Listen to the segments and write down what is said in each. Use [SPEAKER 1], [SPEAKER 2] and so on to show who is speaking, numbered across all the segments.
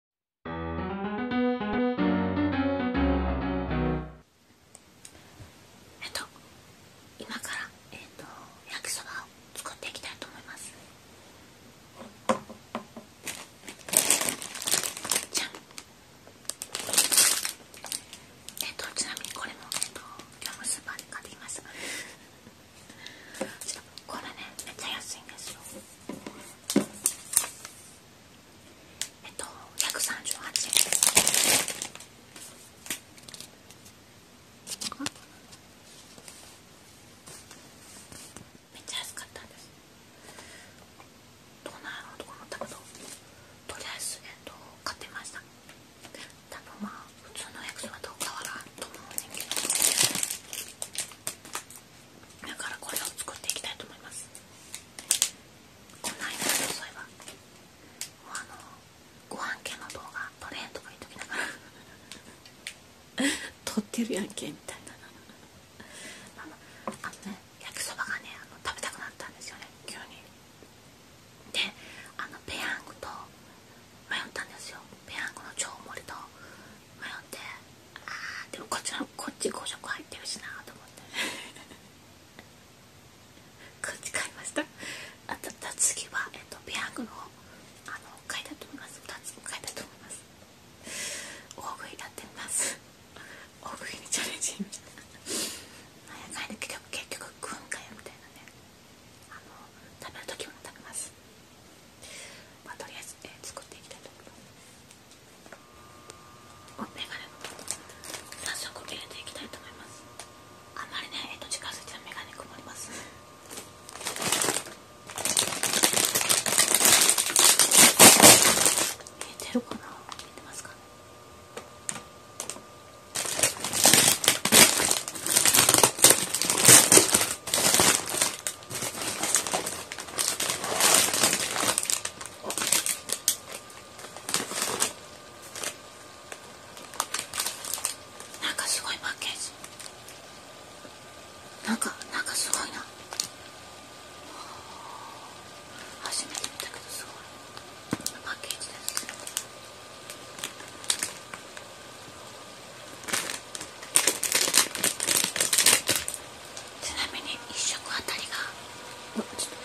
[SPEAKER 1] えっと今からえっと焼きそばを作っていきたいと思いますえっとちなみにこれもえっと業務スーで買ってきます これねめっちゃ安いんですよえっと138円めっちゃ安かったんですどうなるのとか思ったけどとりあえず、えっと、買ってました多分まあ普通の焼きはどう変わらんと思うんですけどだからこれを作っていきたいと思いますこの間そういえばもうあのご飯系の動画撮れんとか言っときながら 撮ってるやんけみたいなあのあのね焼きそばがねあの食べたくなったんですよね急にであのペヤングと迷ったんですよペヤングの超盛りと迷ってあーでもこっちのこっち5色入ってるしなと思って こっち買いましたあと次は、えっと、ビアングのあの買いたと思います2つも買いたと思います大食いやってみます大食いにチャレンジみたいな結局結局軍うんかよみたいなねあの食べる時も食べますまあ、とりあえず、作っていきたいと思いますメガ早速入れていきたいと思いますあまりね、えー、と近づはメガネ曇りますえてるかな見てますかねなんかすごいパッケージなんかなんかすごいな初めて見たけどすごいパッケージですちなみに1食あたりがうんちょっと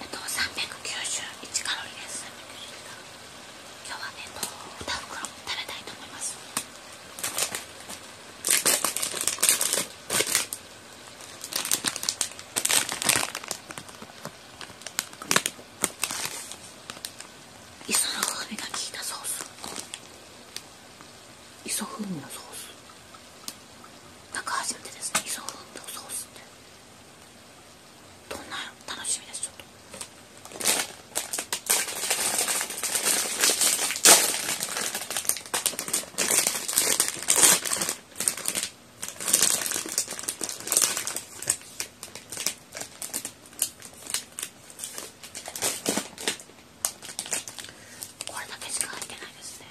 [SPEAKER 1] えっと391カロリーです今日はね、えっと、2袋食べたいと思います。磯の風が効いたソース磯風味のソースなんか初めてですね磯風味のソースってどんな楽しみですこれだけしか入ってないですね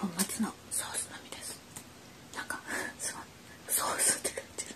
[SPEAKER 1] 本末のソースのみですなんかすごいソースって感じです。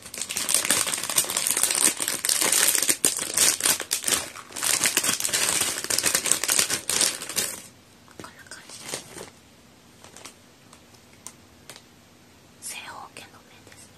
[SPEAKER 1] こんな感じです正方形の面ですね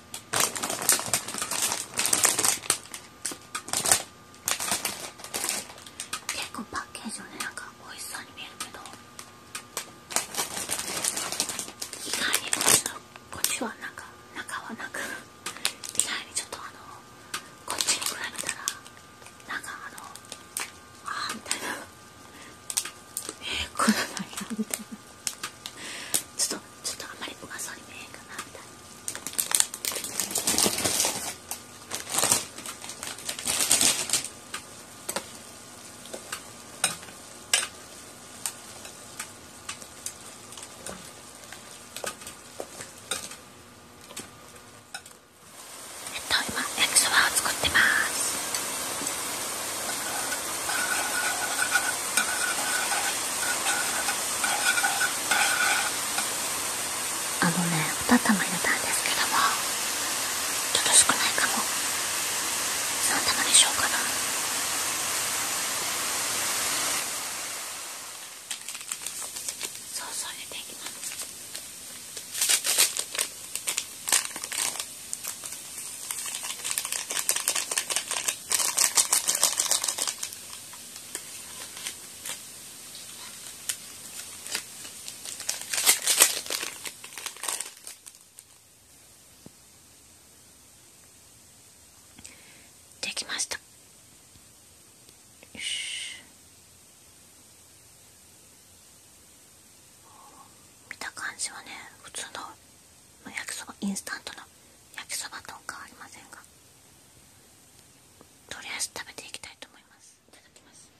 [SPEAKER 1] 結構パッケージはねなんか美味しそうに見えるけど意外にこっちはなんか中はなく意外にちょっとあのこっちに比べたらなんかあのああみたいなえー、これなんみたいなちょっとちょっとあんまりうまそうに見えへんかなみたいなえっと今焼きそばを作ってます。あのねおたたま入れたんですけどもちょっと少ないかも3玉にしようかなそうそう入れていきますできましたよし見た感じはね普通の焼きそばインスタントの焼きそばと変わりませんがとりあえず食べていきたいと思いますいただきます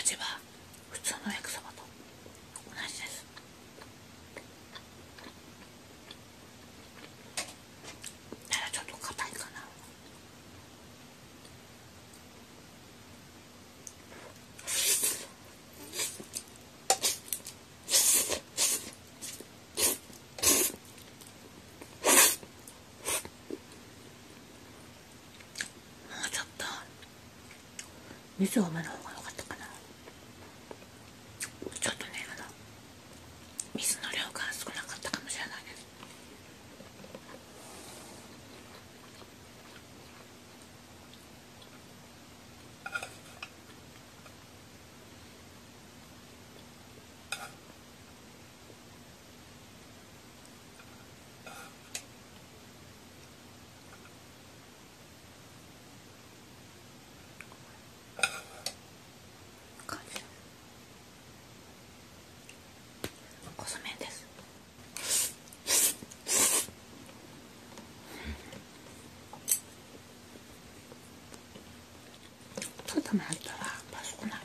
[SPEAKER 1] 味は普通の焼きそばと同じですただちょっと硬いかなもうちょっと水を飲むの方が良かったかなちょっとねあの水の量が少なかったかもしれないです細麺ですうん、トマトはパスタなもう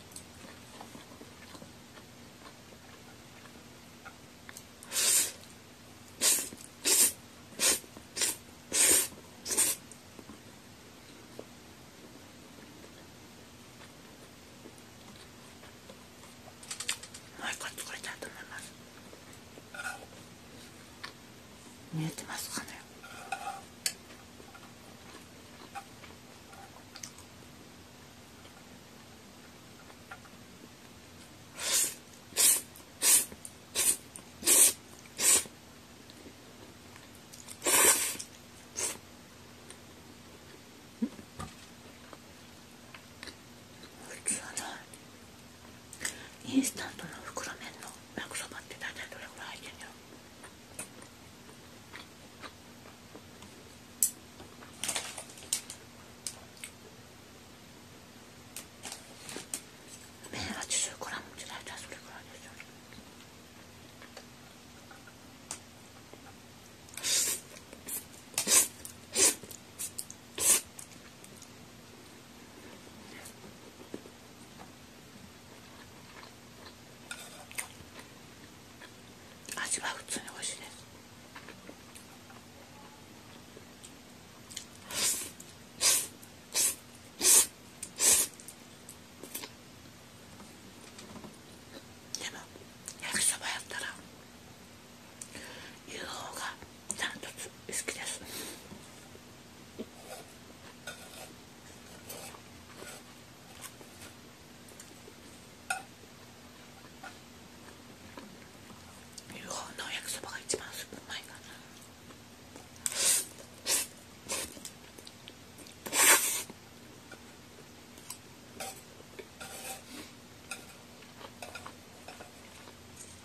[SPEAKER 1] 一個作れたと思います。見えてますかねインスタントの袋麺の焼きそばって大体どれぐらい入ってんだろう麺 80g って大体それぐらいですよね味は普通においしいですでも焼きそばやったらいう方がちゃんと好きです。いう方のおやきそばが一番うまいかな。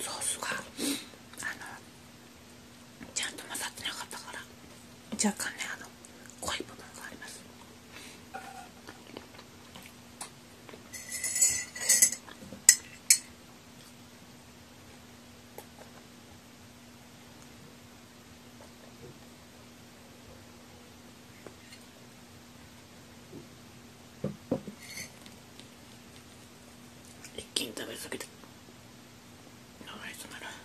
[SPEAKER 1] ソースがあのちゃんと混ざってなかったから若干ねあの濃い部分があります一気に食べ過ぎてかわいそうなら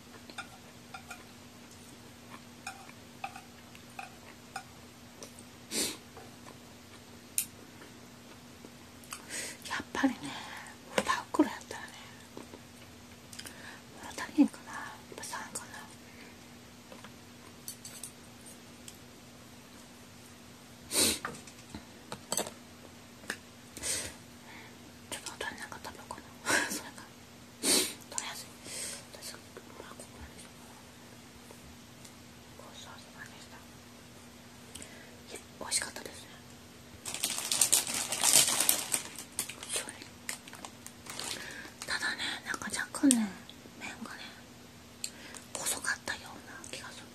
[SPEAKER 1] やっぱりね2袋やったらね物足りんかなやっぱ3かなちょっと大人なんか食べようかな それか取りやすい私まあこごちそうさまでしたいや美味しかったですただねなんか若干ね麺がね細かったような気がする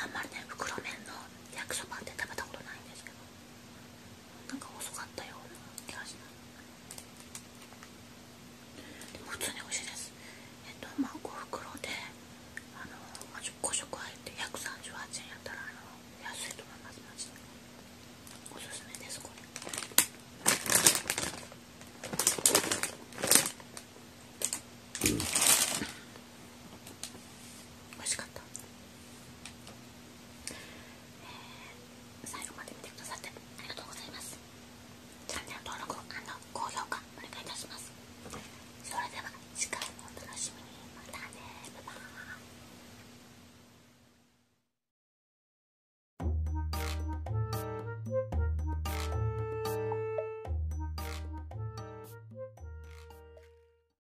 [SPEAKER 1] あんまりね袋麺の焼きそばって食べたことないんですけどなんか遅かったような気がしますでも普通に美味しいですえっとまあ5袋であの5食入って138円やったらあの安いと思いますマジでおすすめですこれ美味しかったえ最後まで見てくださってありがとうございますチャンネル登録高評価お願いいたしますそれでは次回もお楽しみにまたねバイバーイ